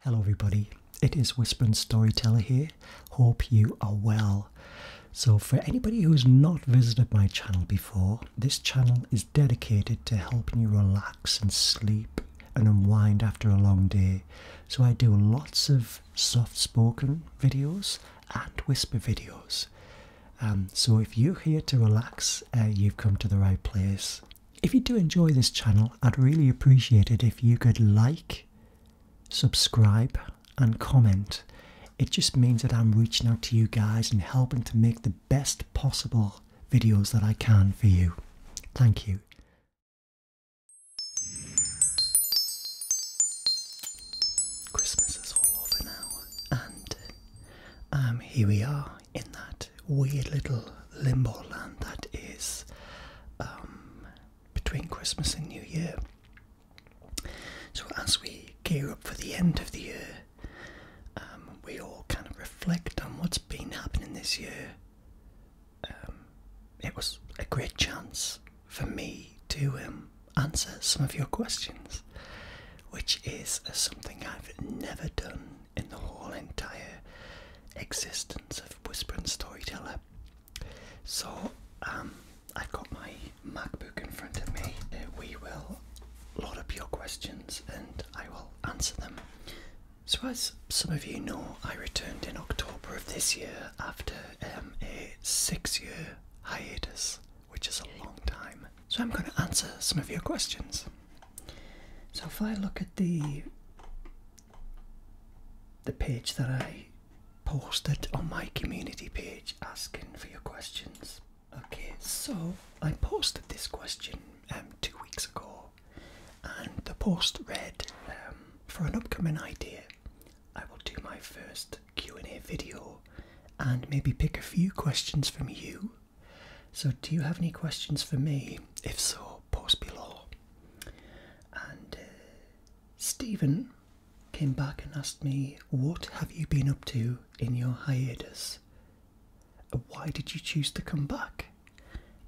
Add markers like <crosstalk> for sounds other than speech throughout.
Hello, everybody. It is Whisper Storyteller here. Hope you are well. So, for anybody who's not visited my channel before, this channel is dedicated to helping you relax and sleep and unwind after a long day. So, I do lots of soft spoken videos and whisper videos. Um, so, if you're here to relax, uh, you've come to the right place. If you do enjoy this channel, I'd really appreciate it if you could like, subscribe, and comment. It just means that I'm reaching out to you guys and helping to make the best possible videos that I can for you. Thank you. Christmas is all over now, and um, here we are in that weird little limbo land that is um, between Christmas and New Year. So, as we gear up for the end of the year, um, we all kind of reflect on what's been happening this year. Um, it was a great chance for me to answer some of your questions, which is something I've never done in the whole entire existence of Whispering Storyteller. So um, I've got my MacBook in front of me. Uh, we will load up your questions and I will answer them. So as some of you know, I returned in October of this year after um, a six-year hiatus, which is a long time. So I'm going to answer some of your questions. So if I look at the the page that I posted on my community page asking for your questions. Okay, so I posted this question um, two weeks ago, and the post read um, for an upcoming idea. I will do my first Q&A video and maybe pick a few questions from you. So do you have any questions for me? If so, post below. And uh, Stephen came back and asked me, What have you been up to in your hiatus? Why did you choose to come back?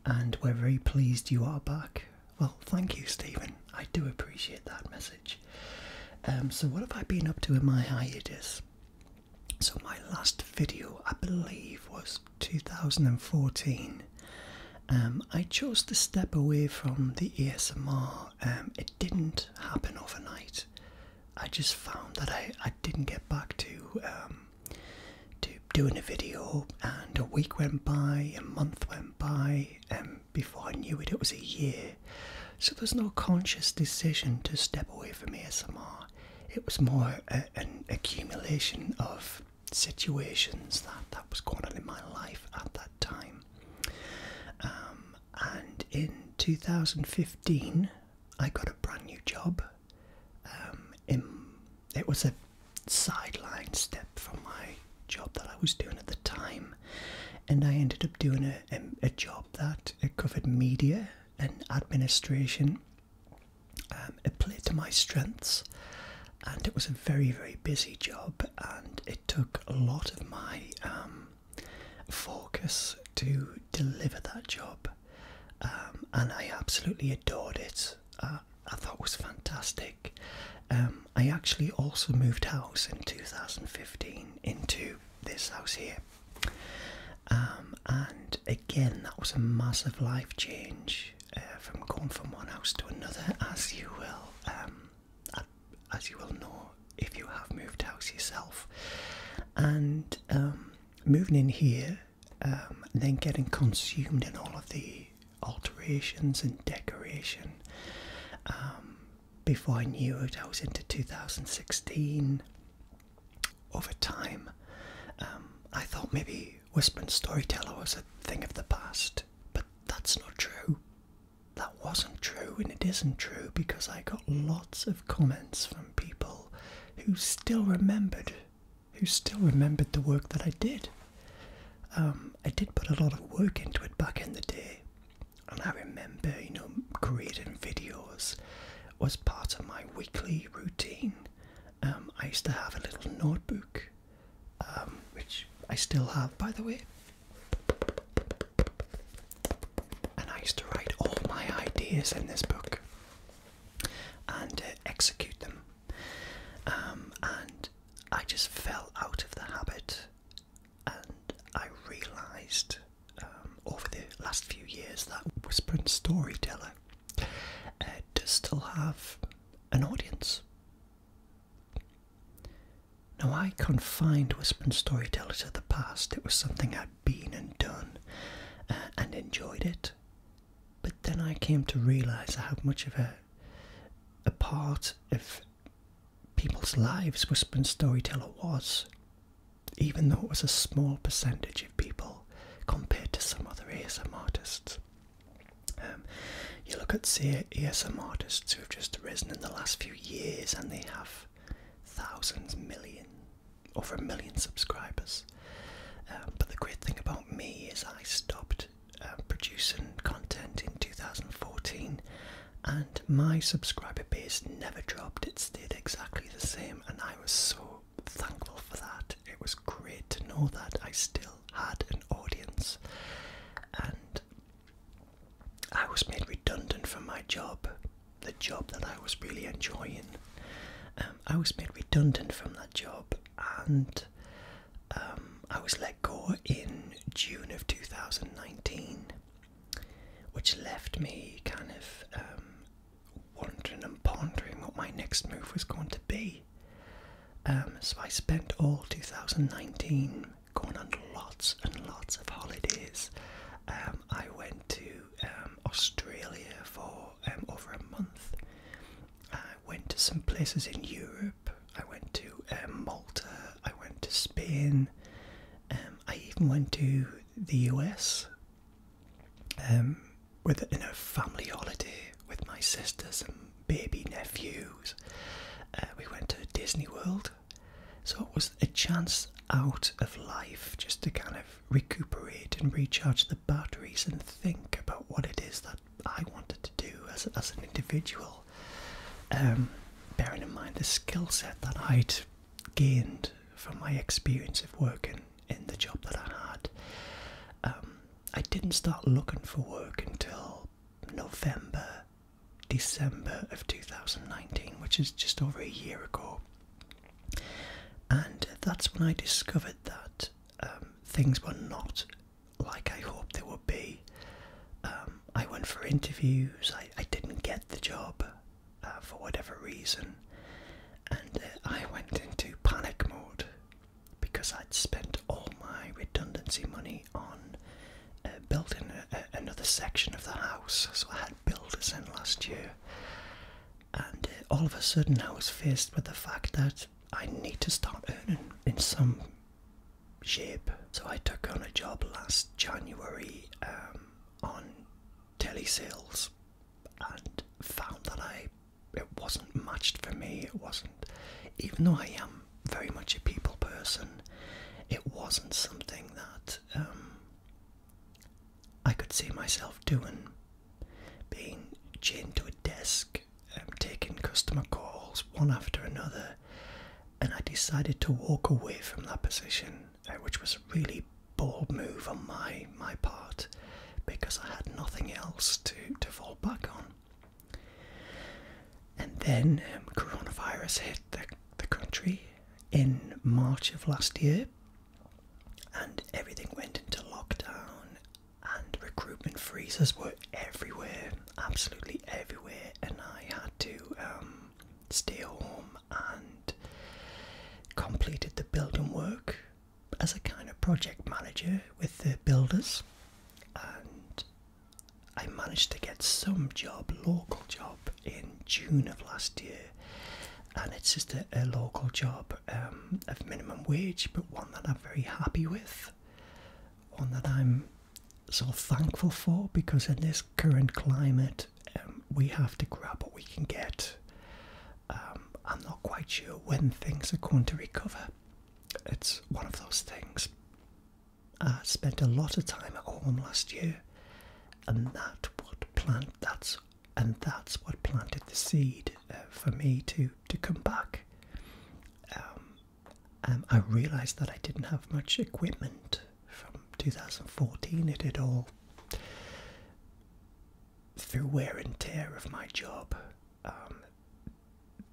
And we're very pleased you are back. Well, thank you, Stephen. I do appreciate that message. Um, so, what have I been up to in my hiatus? So, my last video, I believe, was 2014, um, I chose to step away from the ASMR. Um, it didn't happen overnight. I just found that I, I didn't get back to um, to doing a video, and a week went by, a month went by, and before I knew it, it was a year. So there's no conscious decision to step away from ASMR. It was more an accumulation of situations that that was going on in my life at that time. Um, and in 2015, I got a brand new job. Um, it was a sideline step from my job that I was doing at the time, and I ended up doing a, a, a job that covered media and administration it um, played to my strengths, and it was a very, very busy job, and it took a lot of my um, focus to deliver that job. Um, and I absolutely adored it. Uh, I thought it was fantastic. I actually also moved house in 2015 into this house here. and again, that was a massive life change. Uh, from going from one house to another, as you will, um, as you will know if you have moved house yourself, and um, moving in here, um, then getting consumed in all of the alterations and decoration. before I knew it, I was into 2016. Over time, I thought maybe Wisman Storyteller was a thing of the past, but that's not true. That wasn't true, and it isn't true because I got lots of comments from people who still remembered, who still remembered the work that I did. Um, I did put a lot of work into it back in the day, and I remember, you know, creating videos was part of my weekly routine. Um, I used to have a little notebook um, which I still have, by the way. And I used to write all my ideas in this book and uh, execute them. Um, and I just fell out of the habit, and I realised um, over the last few years that Whispering Storyteller I uh, do still have an audience. Now, I confined Whisper and Storyteller to the past. It was something I'd been and done uh, and enjoyed it. But then I came to realise how much of a, a part of people's lives Whisper and Storyteller was, even though it was a small percentage of people compared to some other ASM artists. Um, you look at ESM artists who have just risen in the last few years and they have thousands, millions, over a million subscribers. Um, but the great thing about me is I stopped uh, producing content in 2014 and my subscriber base never dropped, it stayed exactly the same, and I was so thankful for that. It was great to know that I still had an audience. And I was made redundant from my job, the job that I was really enjoying. Um, I was made redundant from that job, and um, I was let go in June of 2019, which left me kind of um, wondering and pondering what my next move was going to be. Um, so I spent all 2019 going on lots and lots of holidays. Um, I went to um, Australia for over a month. I went to some places in Europe. I went to Malta. I went to Spain. I even went to the US with in a family holiday with my sisters baby nephews. Uh, we went to Disney World. So it was a chance out of life just to kind of recuperate and recharge the batteries and think about what it is that I wanted to do as, as an individual. Um, bearing in mind the skill set that I'd gained from my experience of working in the job that I had. Um, I didn't start looking for work until November, December of 2019, which is just over a year ago. And that's when I discovered that um, things were not like I hoped they would be. Um, I went for interviews, I, didn't get the job uh, for whatever reason, and uh, I went into panic mode because I'd spent all my redundancy money on uh, building another section of the house. So I had builders in last year, and uh, all of a sudden I was faced with the fact that I need to start earning in some shape. So I took on a job last January um, on telesales and found that I it wasn't matched for me. It wasn't, even though I am very much a people person, it wasn't something that um, I could see myself doing. Being chained to a desk, um, taking customer calls one after another, and I decided to walk away from that position, uh, which was a really bold move on my my part because I had nothing else to to fall back on. And then um, coronavirus hit the, the country in March of last year, and everything went into lockdown, and recruitment freezes were everywhere, absolutely everywhere. And I had to um, stay home and completed the building work as a kind of project manager with the builders and I managed to get some job, local job, in June of last year, and it's just a, local job um, of minimum wage, but one that I'm very happy with, one that I'm so thankful for because in this current climate, um, we have to grab what we can get. Um, I'm not quite sure when things are going to recover it's one of those things. I spent a lot of time at home last year, and that what plant and that's what planted the seed uh, for me to to come back. um, um I realised that I didn't have much equipment from 2014. It had all through wear and tear of my job um,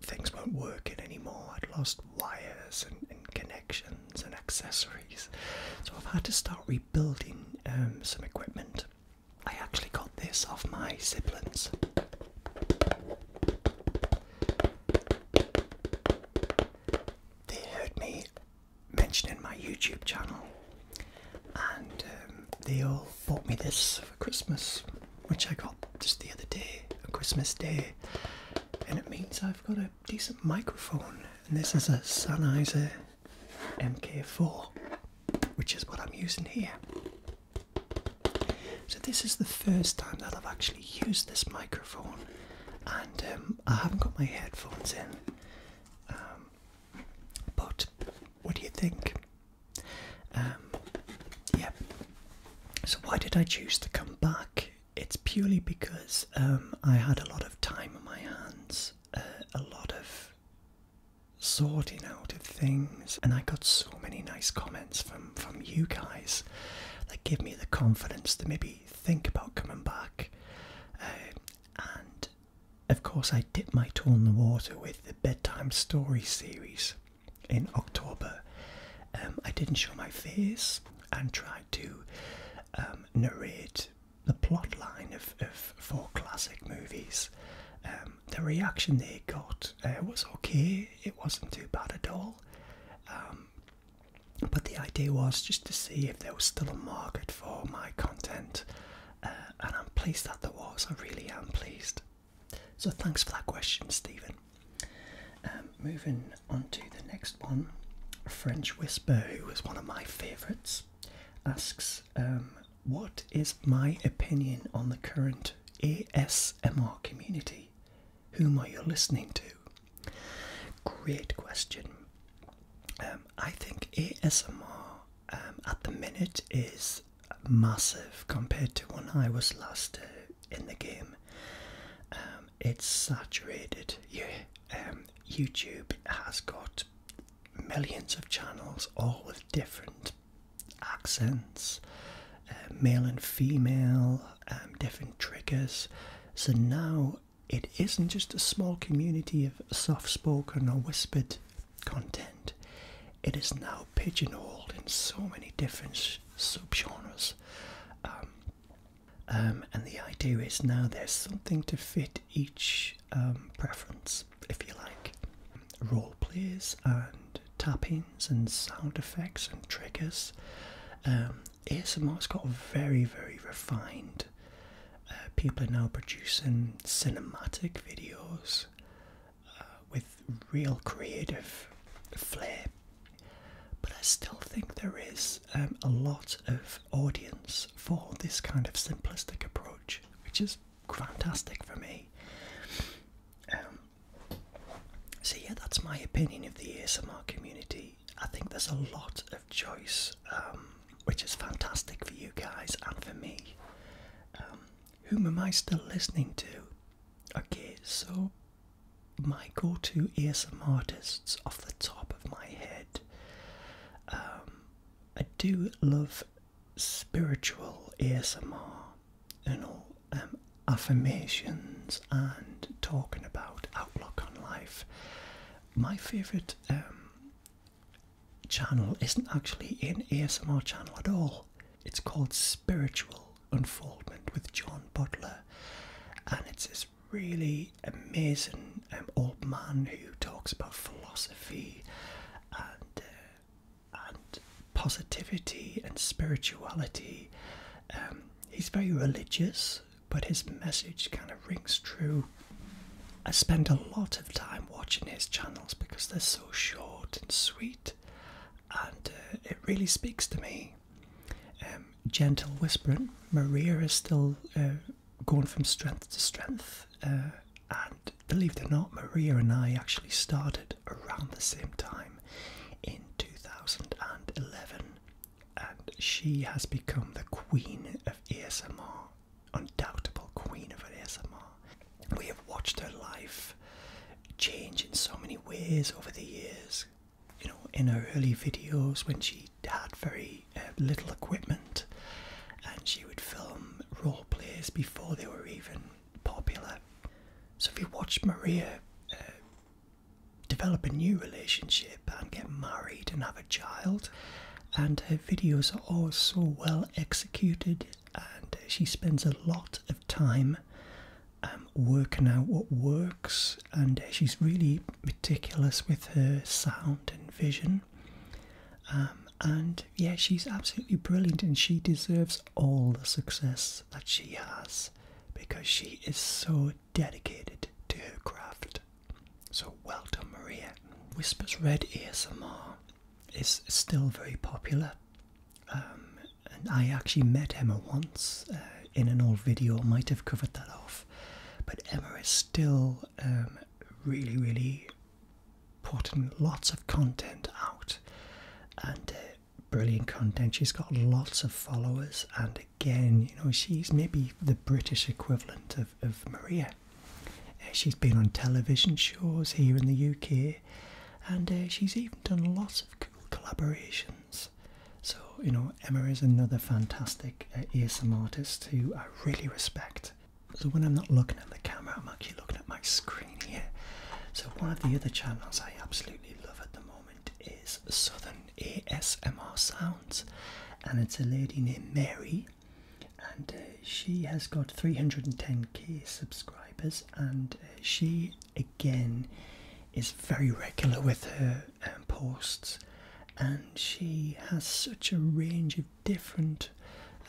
things weren't working anymore. I'd lost wires and, connections and accessories. So I've had to start rebuilding um, some equipment. I actually got this off my siblings. They heard me mentioning my YouTube channel and um, they all bought me this for Christmas, which I got just the other day, on Christmas Day, and it means I've got a decent microphone. And this is a Sennheiser MK4, which is what I'm using here. So this is the first time that I've actually used this microphone, and um, I haven't got my headphones in. Um, but what do you think? Um, yeah. So why did I choose to come back? It's purely because um, I had a lot of time on my hands, uh, a lot of sorting out of things, and I got so many nice comments from from you guys that give me the confidence to maybe think about coming back. Uh, and of course, I dipped my toe in the water with the bedtime story series in October. Um, I didn't show my face and tried to um, narrate the plot line of, four classic movies. Um, the reaction they got uh, was okay, it wasn't too bad at all. but the idea was just to see if there was still a market for my content, uh, and I'm pleased that there was. I really am pleased. So thanks for that question, Stephen. Um, moving on to the next one, French Whisper, who is one of my favourites, asks, um, "What is my opinion on the current ASMR community? Whom are you listening to?" Great question. Um, I think ASMR at the minute is massive compared to when I was last uh, in the game. Um, it's saturated. You, um, YouTube has got millions of channels, all with different accents, uh, male and female, um, different triggers. So now it isn't just a small community of soft spoken or whispered content, it is now pigeonholed in so many different subgenres. Um, um, and the idea is now there's something to fit each um, preference, if you like. Role plays and tappings and sound effects and triggers. Um, ASMR's got very, very refined. Uh, people are now producing cinematic videos with real creative flair. But I still think there is um, a lot of audience for this kind of simplistic approach, which is fantastic for me. Um, so, yeah, that's my opinion of the ASMR community. I think there's a lot of choice, um, which is fantastic for you guys and for me. Um, whom am I still listening to? Okay, so my go-to ASMR artists off the top of my head. Um, I do love spiritual ASMR, and all affirmations and talking about outlook on life. My favourite um, channel isn't actually an ASMR channel at all. It's called Spiritual unfoldment with John Butler, and it's this really amazing um, old man who talks about philosophy and uh, positivity and spirituality. Um, he's very religious, but his message kind of rings true. I spend a lot of time watching his channels because they're so short and sweet and uh, it really speaks to me. Um, gentle whispering. Maria is still uh, going from strength to strength, uh, and believe it or not, Maria and I actually started around the same time in 2011, and she has become the queen of ASMR, undoubtable queen of ASMR. We have watched her life. Change in so many ways over the years. You know, in her early videos when she had very uh, little equipment and she would film role plays before they were even popular. So if you watch Maria uh, develop a new relationship and get married and have a child, and her videos are all so well executed, and she spends a lot of time um, working out what works, and she's really meticulous with her sound and vision. Um, and yeah, she's absolutely brilliant, and she deserves all the success that she has because she is so dedicated to her craft. So well done, Maria. Whispers Red ASMR is still very popular. Um, and I actually met Emma once uh, in an old video, might have covered that off. But Emma is still um, really, really putting lots of content out and uh, brilliant content. She's got lots of followers, and again, you know, she's maybe the British equivalent of, of Maria. Uh, she's been on television shows here in the UK, and she's even done lots of cool collaborations so, you know, Emma is another fantastic uh, ASM artist who I really respect. So when I'm not looking at the camera, I'm actually looking at my screen here. So one of the other channels I absolutely love at the moment is Southern ASMR Sounds. And it's a lady named Mary. And uh, she has got 310k subscribers and uh, she again is very regular with her um, posts and she has such a range of different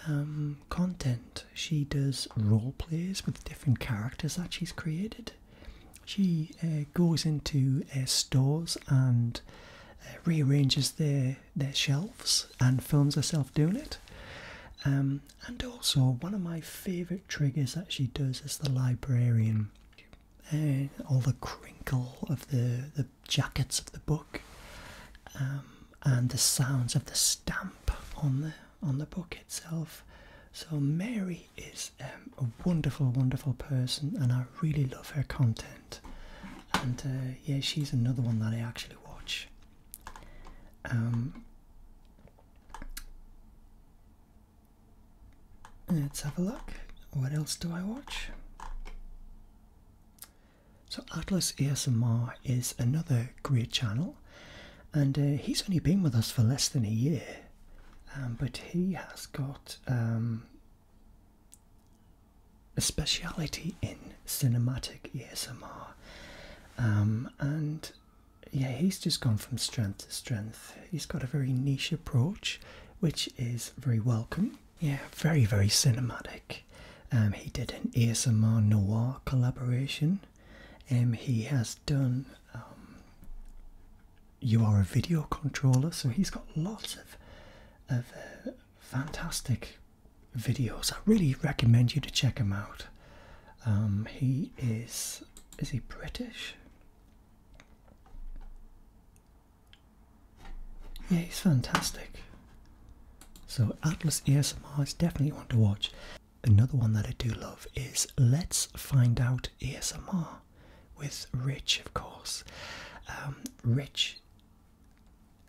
um, content. She does role plays with different characters that she's created. She uh, goes into uh, stores and uh, rearranges their their shelves and films herself doing it. Um, and also, one of my favourite triggers that she does is the librarian. Uh, all the crinkle of the, the jackets of the book, um, and the sounds of the stamp on the on the book itself. So Mary is um, a wonderful, wonderful person, and I really love her content. And uh, yeah, she's another one that I actually watch. Um, Let's have a look. What else do I watch? So Atlas ASMR is another great channel, and uh, he's only been with us for less than a year, um, but he has got um, a speciality in cinematic ASMR, um, and yeah, he's just gone from strength to strength. He's got a very niche approach, which is very welcome. Yeah, very, very cinematic. Um, he did an ASMR noir collaboration. Um, he has done um, You Are a Video Controller, so he's got lots of, of uh, fantastic videos. I really recommend you to check him out. Um, he is is he British? Yeah, he's fantastic. So Atlas ESMR is definitely one to watch. Another one that I do love is Let's Find Out ESMR, with Rich, of course. Um, Rich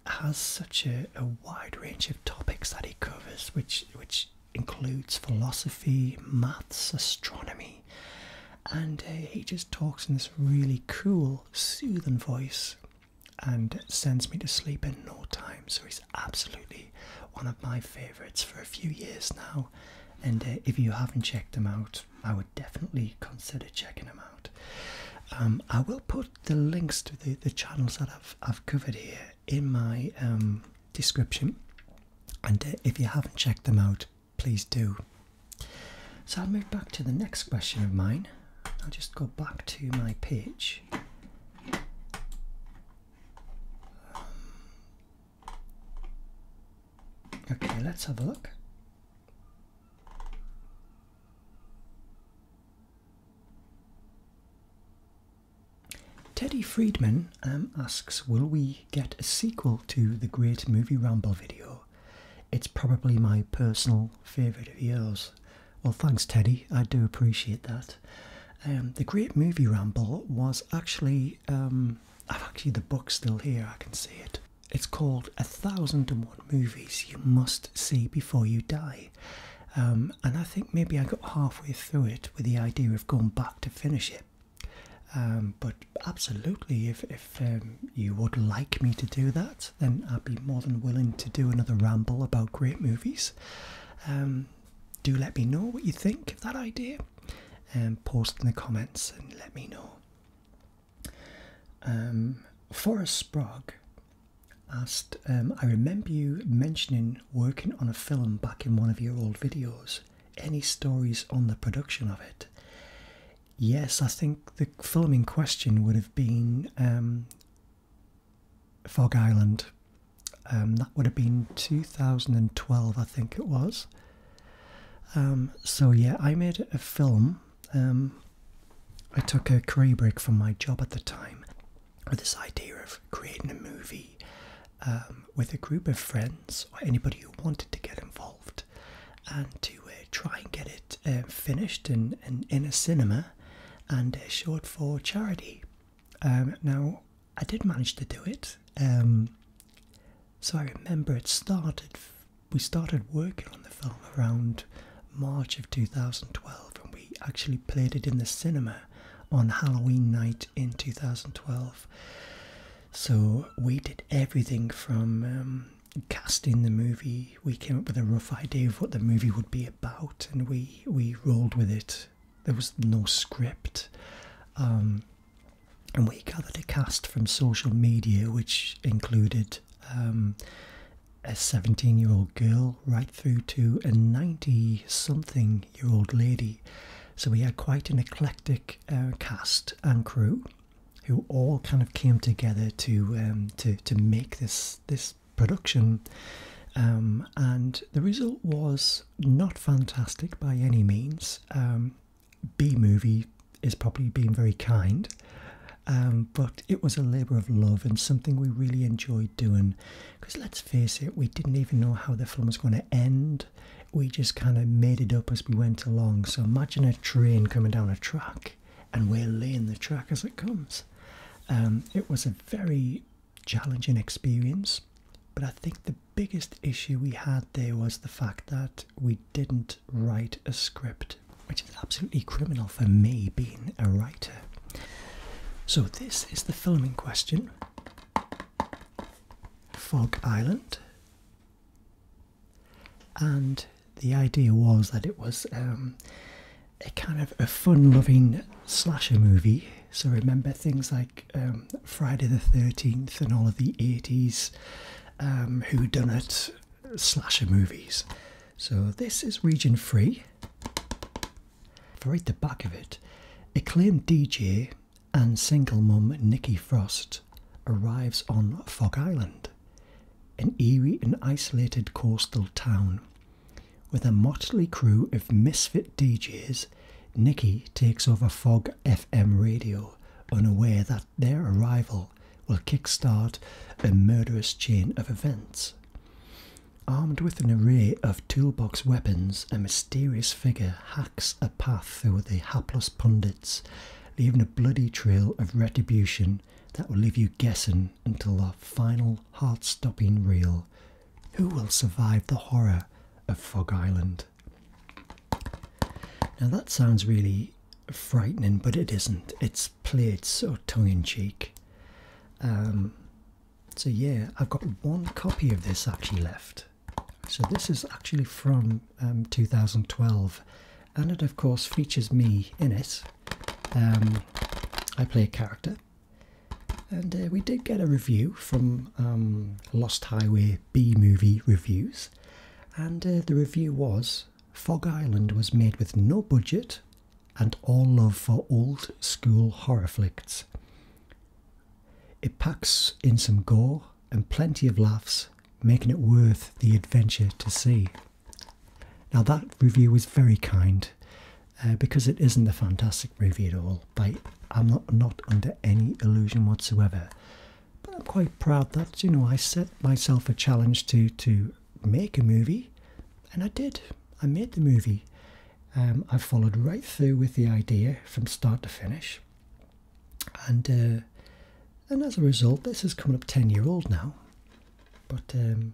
has such a, a wide range of topics that he covers, which which includes philosophy, maths, astronomy, and uh, he just talks in this really cool, soothing voice and sends me to sleep in no time. So he's absolutely one of my favourites for a few years now. And uh, if you haven't checked them out, I would definitely consider checking them out. Um, I will put the links to the, the channels that I've, I've covered here in my um, description. And uh, if you haven't checked them out, please do. So I'll move back to the next question of mine. I'll just go back to my page. Um, okay, let's have a look. Teddy Friedman um, asks, will we get a sequel to the Great Movie Ramble video? It's probably my personal favourite of yours. Well, thanks, Teddy. I do appreciate that. Um, the Great Movie Ramble was actually, um, I've actually the book still here, I can see it. It's called A Thousand and One Movies You Must See Before You Die. and I think maybe I got halfway through it with the idea of going back to finish it, um, but absolutely, if, if um, you would like me to do that, then I'd be more than willing to do another ramble about great movies. Um, do let me know what you think of that idea and post in the comments and let me know. Forest Sprague asked, I remember you mentioning working on a film back in one of your old videos any stories on the production of it. Yes, I think the film in question would have been um, Fog Island. Um, that would have been 2012, I think it was. Um, so, yeah, I made a film. I took a career break from my job at the time with this idea of creating a movie um, with a group of friends or anybody who wanted to get involved and to uh, try and get it uh, finished and, in a cinema and uh, short for charity. Um, now, I did manage to do it. Um, so I remember it started, we started working on the film around March of 2012 and we actually played it in the cinema on Halloween night in 2012. So we did everything from um, casting the movie. We came up with a rough idea of what the movie would be about, and we we rolled with it. There was no script, um, and we gathered a cast from social media, which included. Um, a 17 year old girl right through to a 90 something year old lady. So we had quite an eclectic uh, cast and crew who all kind of came together to um, to to make this this production. Um, and the result was not fantastic by any means. Um, B movie is probably being very kind, but it was a labour of love and something we really enjoyed doing. Because let's face it, we didn't even know how the film was going to end. We just kind of made it up as we went along. So imagine a train coming down a track and we're laying the track as it comes. Um, it was a very challenging experience, but I think the biggest issue we had there was the fact that we didn't write a script, which is absolutely criminal for me being a writer. So, this is the filming question. Fog Island, and the idea was that it was um, a kind of a fun-loving slasher movie. So remember things like um, Friday the Thirteenth and all of the eighties um, whodunit slasher movies. So this is region free. If I read the back of it, it acclaimed DJ and single mum Nikki Frost arrives on Fog Island, an eerie and isolated coastal town. With a motley crew of misfit DJs, Nikki takes over Fog FM radio, unaware that their arrival will kickstart a murderous chain of events. Armed with an array of toolbox weapons, a mysterious figure a path through the hapless pundits, leaving a bloody trail of retribution that will leave you guessing until the final heart stopping reel. Who will survive the horror of Fog Island? Now that sounds really frightening, but it isn't. It's played so tongue in cheek. Um, so, yeah, I've got one copy of this actually left. So this is actually from um, 2012 and it of course features me in it. Um, I play a character and uh, we did get a review from um, Lost Highway B Movie Reviews and uh, the review was Fog Island was made with no budget and all love for old school horror flicks. It packs in some gore and plenty of laughs, making it worth the adventure to see. Now, that review was very kind uh, because it isn't a fantastic review at all. But I'm not, under any illusion whatsoever. But I'm quite proud that, you know, I set myself a challenge to, to make a movie, and I did. I made the movie. Um, I followed right through with the idea from start to finish and uh, and as a result, this has come up ten year old now, but um,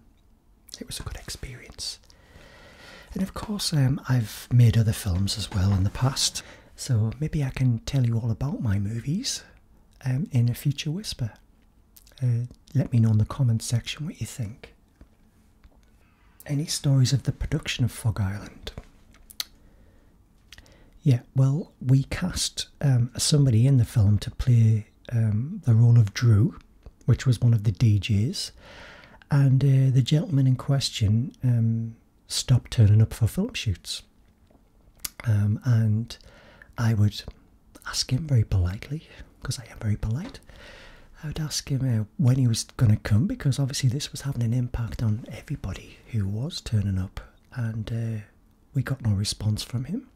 it was a good experience. And of course, um, I've made other films as well in the past, so maybe I can tell you all about my movies um, in a future whisper. Uh, let me know in the comments section what you think. Any stories of the production of Fog Island? Yeah, well, we cast um, somebody in the film to play um, the role of Drew, which was one of the DJs, and uh, the gentleman in question um, stopped turning up for film shoots. and I would ask him very politely, because I am very polite, I would ask him uh, when he was going to come because obviously this was having an impact on everybody who was turning up, and uh, we got no response from him.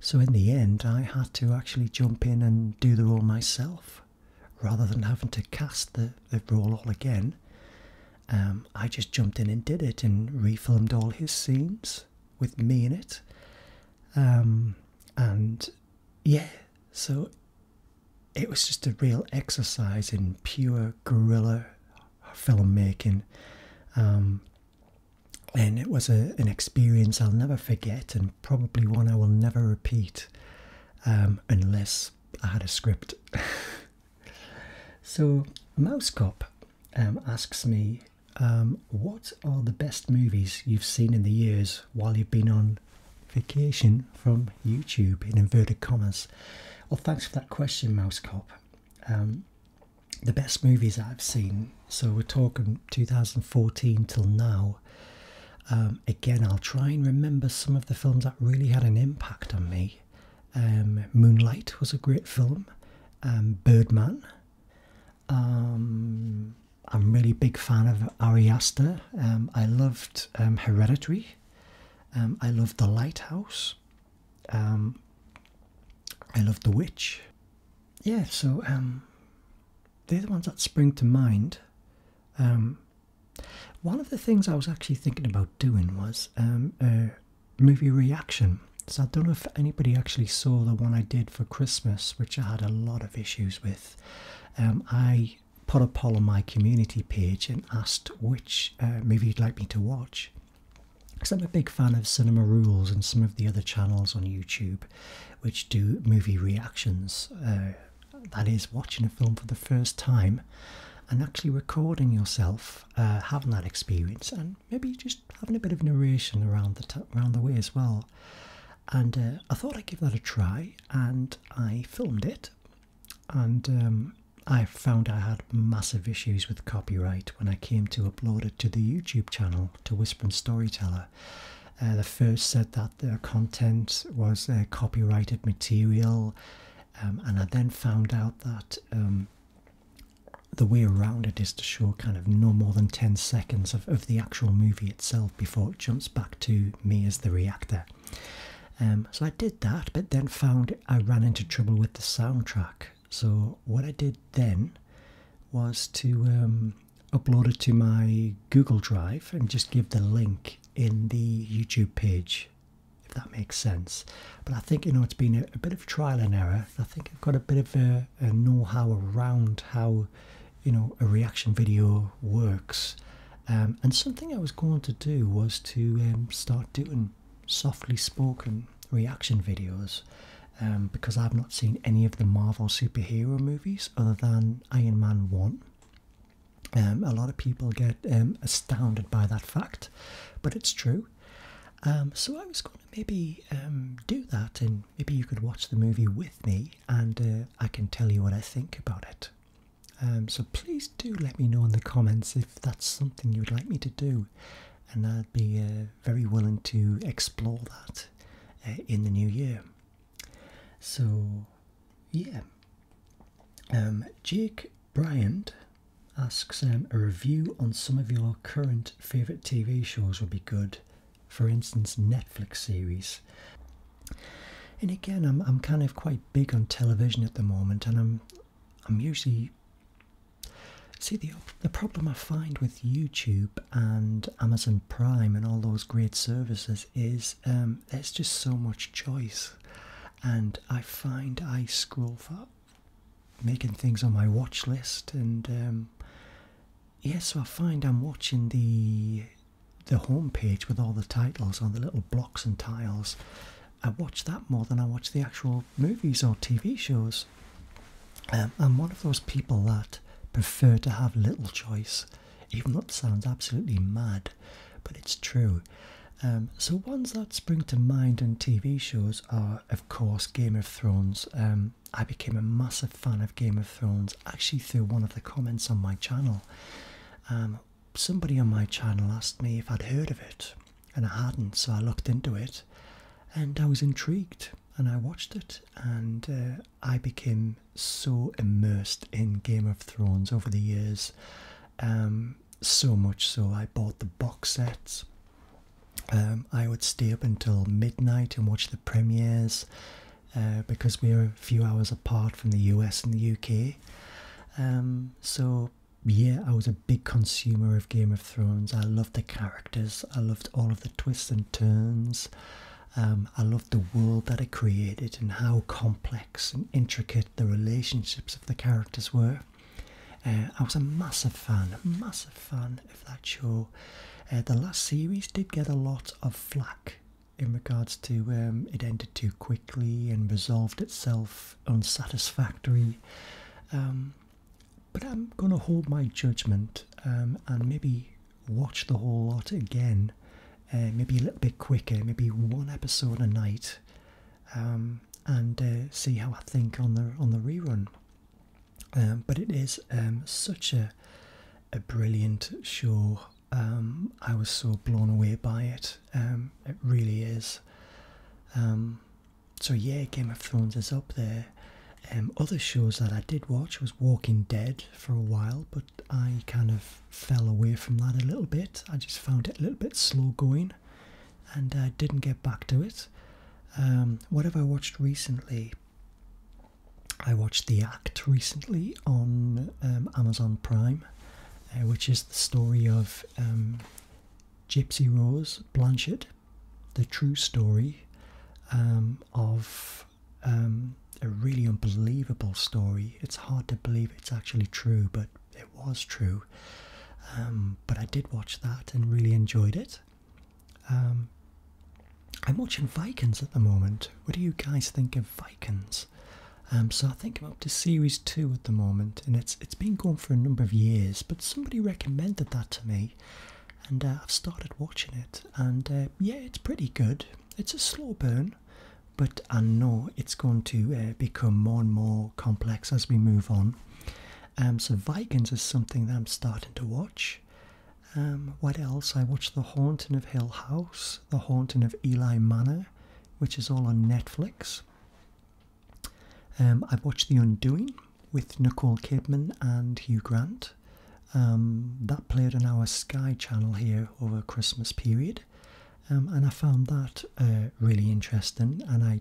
So in the end, I had to actually jump in and do the role myself, rather than having to cast the the role all again. Um, I just jumped in and did it and refilmed all his scenes with me in it. Um, and yeah, so it was just a real exercise in pure guerrilla filmmaking. Um, and it was an experience I'll never forget, and probably one I will never repeat um, unless I had a script. <laughs> so, Mouse Cop um, asks me, What are the best movies you've seen in the years while you've been on vacation from YouTube in inverted commas? Well, thanks for that question, Mouse Cop. Um, the best movies I've seen, so we're talking 2014 till now. Um, again, I'll try and remember some of the films that really had an impact on me. Um, Moonlight was a great film, Birdman. I'm a really big fan of Ari I loved Hereditary. Um, I love The Lighthouse. Um, I love The Witch. Yeah, so um, they're the ones that spring to mind. one of the things I was actually thinking about doing was a movie reaction. So I don't know if anybody actually saw the one I did for Christmas, which I had a lot of issues with. I put a poll on my community page and asked which uh, movie you'd like me to watch. Because I'm a big fan of Cinema Rules and some of the other channels on YouTube which do movie reactions. Uh, that is, watching a film for the first time and actually recording yourself uh, having that experience and maybe just having a bit of narration around the, around the way as well. And I thought I'd give that a try and I filmed it and um, I found I had massive issues with copyright when I came to upload it to the YouTube channel to Whisper and Storyteller. Uh, the first said that the content was uh, copyrighted material, um, and I then found out that um, the way around it is to show kind of no more than 10 seconds of, the actual movie itself before it jumps back to me as the reactor. Um, so I did that, but then found I ran into trouble with the soundtrack. So what I did then was to um, upload it to my Google Drive and just give the link in the YouTube page, if that makes sense. But I think you know it's been a, bit of trial and error. I think I've got a bit of a know-how around how you know a reaction video works um, and something I was going to do was to um, start doing softly spoken reaction videos um, because I've not seen any of the Marvel superhero movies other than Iron Man 1. a lot of people get astounded by that fact, but it's true. so I was going to maybe do that, and maybe you could watch the movie with me, and uh, I can tell you what I think about it. Um, so please do let me know in the comments if that's something you would like me to do, and I'd be uh, very willing to explore that uh, in the new year. So, yeah. Um, Jake Bryant asks um, a review on some of your current favourite TV shows would be good. For instance, Netflix series. And again, I'm, I'm kind of quite big on television at the moment, and I'm I'm usually see the the problem I find with YouTube and Amazon Prime and all those great services is um, there's just so much choice, and I find I scroll for making things on my watch list and um, yeah, so I find I'm watching the the home with all the titles on the little blocks and tiles I watch that more than I watch the actual movies or TV shows. Um, I'm one of those people that prefer to have little choice, even though it sounds absolutely mad, but it's true. Um, so ones that spring to mind in TV shows are, of course, Game of Thrones. Um, I became a massive fan of Game of Thrones actually through one of the comments on my channel somebody on my channel asked me if I'd heard of it, and I hadn't, so I looked into it and I was intrigued and I watched it, and uh, I became so immersed in Game of Thrones over the years. Um, so much so, I bought the box sets. Um, I would stay up until midnight and watch the premieres uh, because we are a few hours apart from the US and the UK. Um, so yeah, I was a big consumer of Game of Thrones. I loved the characters, I loved all of the twists and turns. Um, I loved the world that it created and how complex and intricate the relationships of the characters were. Uh, I was a massive fan, massive fan of that show. Uh, the last series did get a lot of flack in regards to um, it ended too quickly and resolved itself unsatisfactory. Um, but I'm going to hold my judgment um, and maybe watch the whole lot again, uh, maybe a little bit quicker, maybe one episode a night, um, and uh, see how I think on the on the rerun. but it is such a a brilliant show. I was so blown away by it. Um, it really is. Um, so yeah, Game of Thrones is up there. Um, other shows that I did watch was Walking Dead for a while, but I kind of fell away from that a little bit. I just found it a little bit slow going, and I didn't get back to it. what have I watched recently? I watched The Act recently on Amazon Prime, uh, which is the story of Gypsy Rose Blanchard, the true story um, of um, a really unbelievable story. It's hard to believe it's actually true, but it was true. Um, but I did watch that and really enjoyed it. I'm watching Vikings at the moment. What do you guys think of Vikings? Um, so I think I'm up to series two at the moment, and it's it's been going for a number of years. But somebody recommended that to me, and uh, I've started watching it. And uh, yeah, it's pretty good. It's a slow burn, but I know it's going to uh, become more and more complex as we move on. Um, so Vikings is something that I'm starting to watch. Um, what else? I watch The Haunting of Hill House, The Haunting of Eli Manor, which is all on Netflix. Um, I've watched The Undoing with Nicole Kidman and Hugh Grant. Um, that played on our Sky channel here over Christmas period. Um, and I found that uh, really interesting and I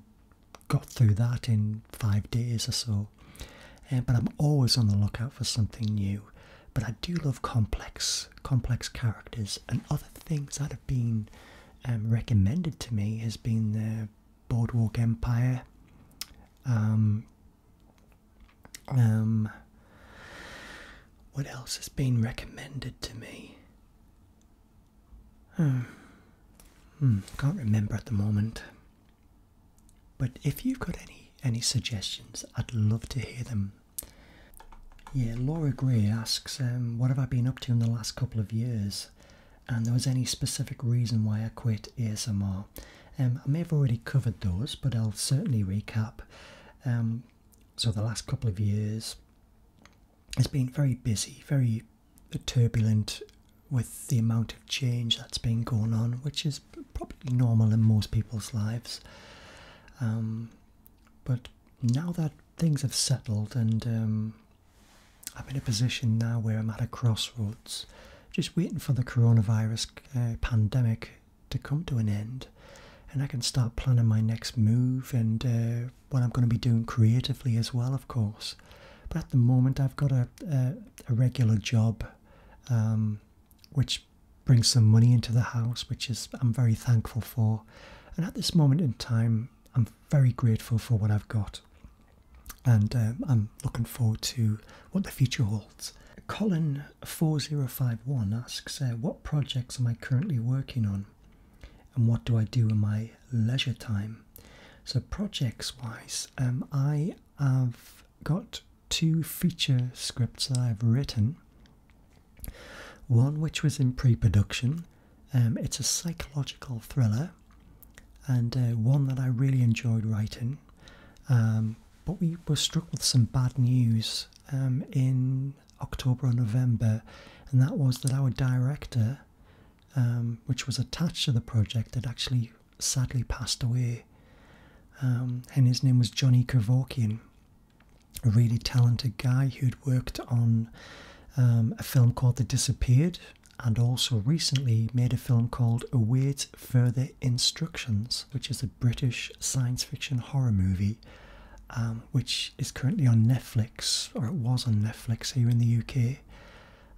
got through that in five days or so. Uh, but I'm always on the lookout for something new. But I do love complex, complex characters and other things that been um, recommended to me has been the Boardwalk Empire. Um, um what else has been recommended to me? Hmm. hmm. can't remember at the moment. But if you've got any any suggestions, I'd love to hear them. Yeah, Laura Gray asks, um, what have I been up to in the last couple of years? and there was any specific reason why I quit ASMR. Um, I may have already covered those, but I'll certainly recap. Um, so the last couple of years has been very busy, very turbulent with the amount of change that's been going on, which is probably normal in most people's lives. Um, but now that things have settled and I'm in a position now where I'm at a crossroads, just waiting for the coronavirus uh, pandemic to come to an end, and I can start planning my next move and uh, what I'm going to be doing creatively as well, of course. But at the moment, I've got a regular job, um, which brings some money into the house, which is I'm very thankful for. And at this moment in time, I'm very grateful for what I've got, and um, I'm looking forward to what the future holds. Colin four zero five one asks, uh, "What projects am I currently working on, and what do I do in my leisure time?" So projects wise, um, I have got two feature scripts I've written. One which was in pre-production, um, it's a psychological thriller and uh, one that I really enjoyed writing. Um, but we were struck with some bad news um, in October or November, and that was that our director, which was attached to the project, had actually sadly passed away. and his name was Johnny Kevorkian, a really talented guy who'd worked on um, a film called The Disappeared, and also recently made a film called Await Further Instructions, which is a British science fiction horror movie, um, which is currently on Netflix, or it was on Netflix here in the UK.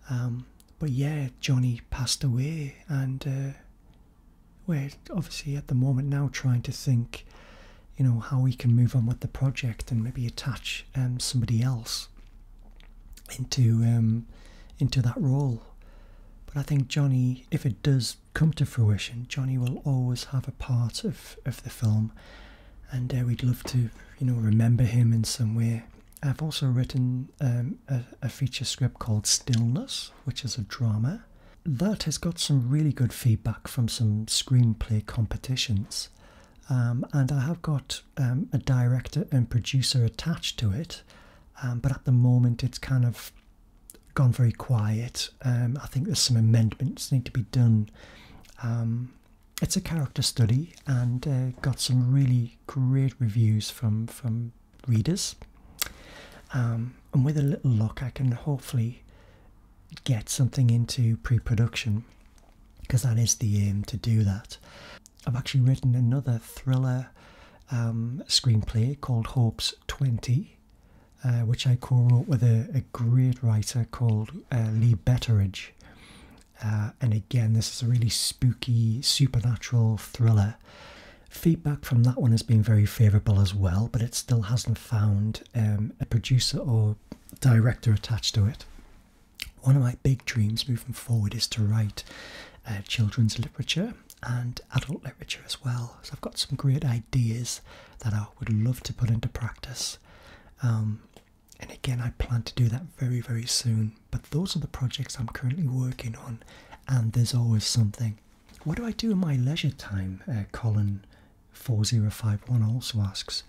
Um, but yeah, Johnny passed away, and uh, we're obviously at the moment now trying to think, you know, how we can move on with the project and maybe attach somebody else into um, into that role. But I think Johnny, if it does come to fruition, Johnny will always have a part of, of the film, and uh, we'd love to you know remember him in some way. I've also written um, a feature script called Stillness, which is a drama. That has got some really good feedback from some screenplay competitions. Um, and I have got um, a director and producer attached to it, um, but at the moment it's kind of gone very quiet. I think there's some amendments need to be done. it's a character study and uh, got some really great reviews from from readers. and with a little luck, I can hopefully get something into pre-production because that is the aim to do that. I've actually written another thriller um, screenplay called Hope's 20, uh, which I co wrote with a, great writer called uh, Lee Betteridge. Uh, and again, this is a really spooky, supernatural thriller. Feedback from that one has been very favourable as well, but it still hasn't found um, a producer or director attached to it one of my big dreams moving forward is to write uh, children's literature and adult literature as well. So I've got some great ideas that I would love to put into practice. Um, and again, I plan to do that very, very soon. But those are the projects I'm currently working on, and there's always something. What do I do in my leisure time? Uh, Colin4051 also asks.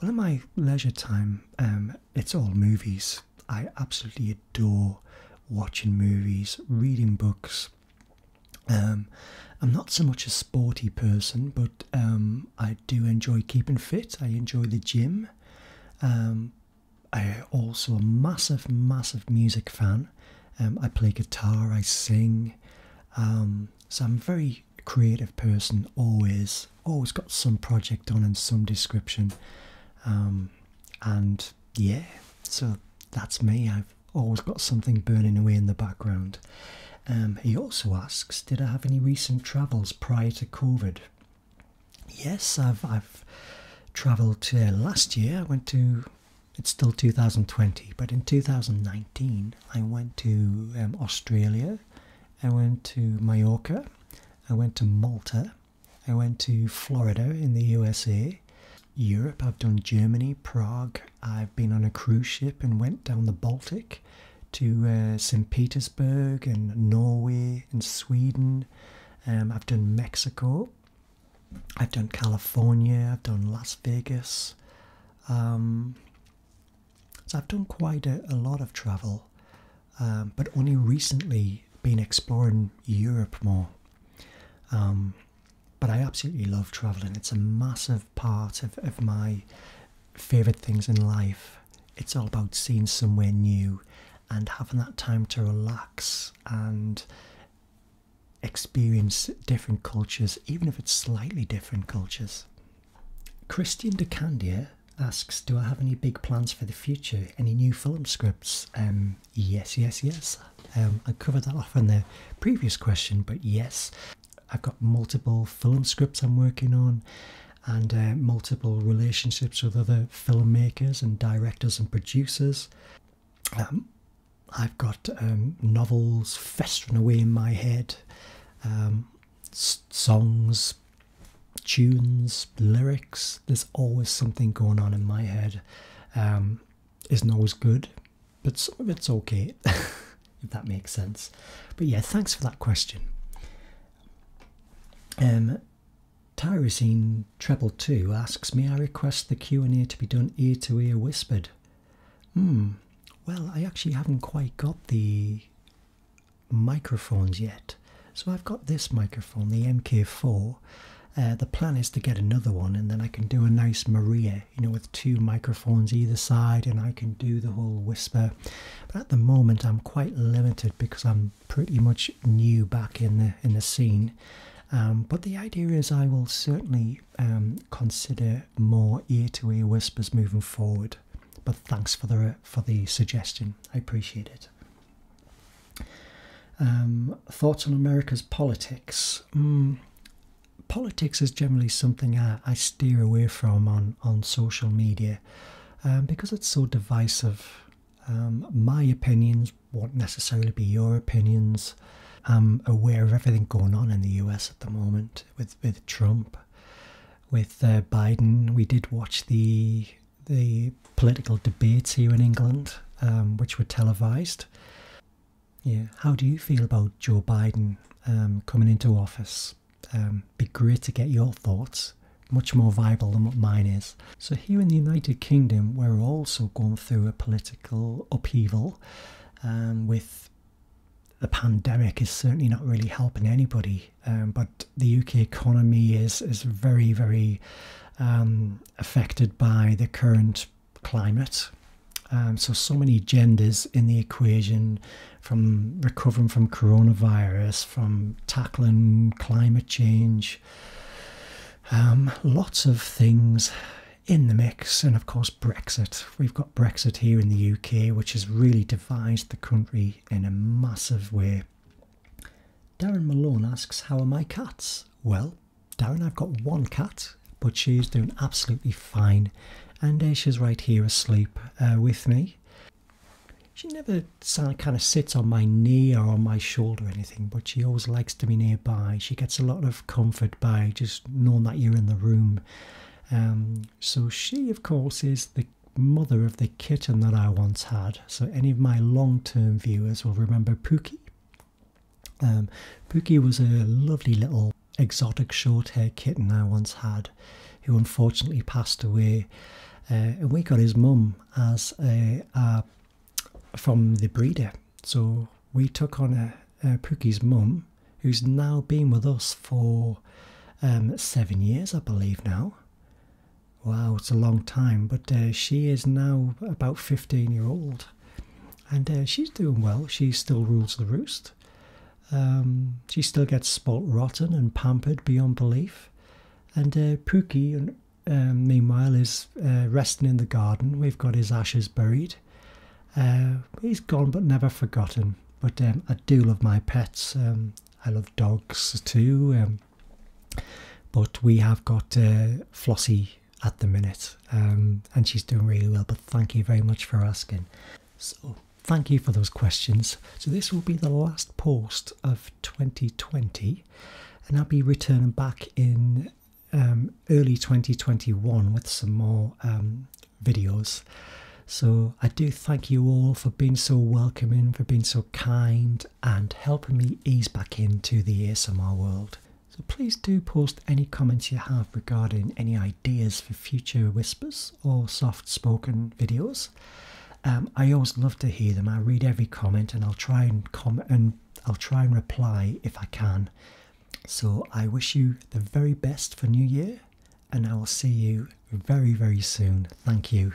Well, in my leisure time, um, it's all movies. I absolutely adore watching movies, reading books. Um, I'm not so much a sporty person, but um, I do enjoy keeping fit. I enjoy the gym. Um, I also a massive, massive music fan. Um, I play guitar, I sing. Um, so I'm very creative person always always got some project on and some description um, and yeah so that's me i've always got something burning away in the background um, he also asks did i have any recent travels prior to covid yes i've i've travelled uh, last year i went to it's still 2020 but in 2019 i went to um, australia I went to Mallorca, I went to Malta, I went to Florida in the USA, Europe, I've done Germany, Prague, I've been on a cruise ship and went down the Baltic to uh, St. Petersburg and Norway and Sweden. Um, I've done Mexico, I've done California, I've done Las Vegas. Um, so I've done quite a, lot of travel, um, but only recently been exploring Europe more. Um, but I absolutely love traveling. It's a massive part of, of my favorite things in life. It's all about seeing somewhere new and having that time to relax and experience different cultures, even if it's slightly different cultures. Christian de Candia asks, "Do I have any big plans for the future? Any new film scripts?" Um, yes, yes, yes. Um, I covered that off in the previous question, but yes, I've got multiple film scripts I'm working on, and uh, multiple relationships with other filmmakers and directors and producers. Um, I've got um, novels festering away in my head, um, songs, tunes, lyrics. There's always something going on in my head. Um, isn't always good, but some of it's okay, <laughs> if that makes sense. But yeah, thanks for that question. Um, Tyrosine Treble Two asks, "May I request the Q and A to be done ear to ear whispered?" Hmm. Well, I actually haven't quite got the microphones yet. So I've got this microphone, the MK4. Uh, the plan is to get another one and then I can do a nice Maria, you know, with two microphones either side and I can do the whole whisper. But at the moment I'm quite limited because I'm pretty much new back in the in the scene. Um, but the idea is I will certainly um, consider more ear to -ear whispers moving forward. But thanks for the for the suggestion. I appreciate it. Um, thoughts on America's politics. Hmm. politics is generally something I, I, steer away from on, on social media um, because it's so divisive. Um, my opinions won't necessarily be your opinions. I'm aware of everything going on in the US at the moment with, with Trump with uh, Biden. We did watch the the political debates here in England, um, which were televised. Yeah, how do you feel about Joe Biden um, coming into office? Um, be great to get your thoughts. Much more viable than what mine is. So here in the United Kingdom, we're also going through a political upheaval, with the pandemic is certainly not really helping anybody. but the UK economy is is very very um, affected by the current climate. Um, so so many genders in the equation, from recovering from coronavirus, from tackling climate change. Um, lots of things in the mix, and of course Brexit. We've got Brexit here in the UK, which has really divided the country in a massive way. Darren Malone asks, How are my cats? Well, Darren, I've got one cat, but she's doing absolutely fine. And uh, she's right here asleep uh, with me. She never kind of sits on my knee or on my shoulder or anything, but she always likes to be nearby. She gets a lot of comfort by just knowing that you're in the room. Um, so she, of course, is the mother of the kitten that I once had. So any of my long-term viewers will remember Pookie. Um, Pookie was a lovely little exotic short hair kitten I once had, who unfortunately passed away. Uh, and we got his mum as a, from the breeder. So we took on a, Pookie's mum, who's now been with us for um, seven years, I believe now. Wow, it's a long time, but uh, she is now about 15 year old and uh, she's doing well. She still rules the roost. Um, she still gets spoilt rotten and pampered beyond belief. And uh, Pookie, uh, um, meanwhile, is resting in the garden. We've got his ashes buried. he's gone but never forgotten. But um, I do love my pets. Um, I love dogs too. Um, but we have got uh, Flossie at the minute, um, and she's doing really well. But thank you very much for asking. So, thank you for those questions. So, this will be the last post of 2020, and I'll be returning back in um, early 2021 with some more videos. So I do thank you all for being so welcoming, for being so kind, and helping me ease back into the ASMR world. So please do post any comments you have regarding any ideas for future whispers or soft spoken videos. Um, I always love to hear them. I read every comment and I'll try and comment and I'll try and reply if I can. So I wish you the very best for New Year and I will see you very, very soon. Thank you.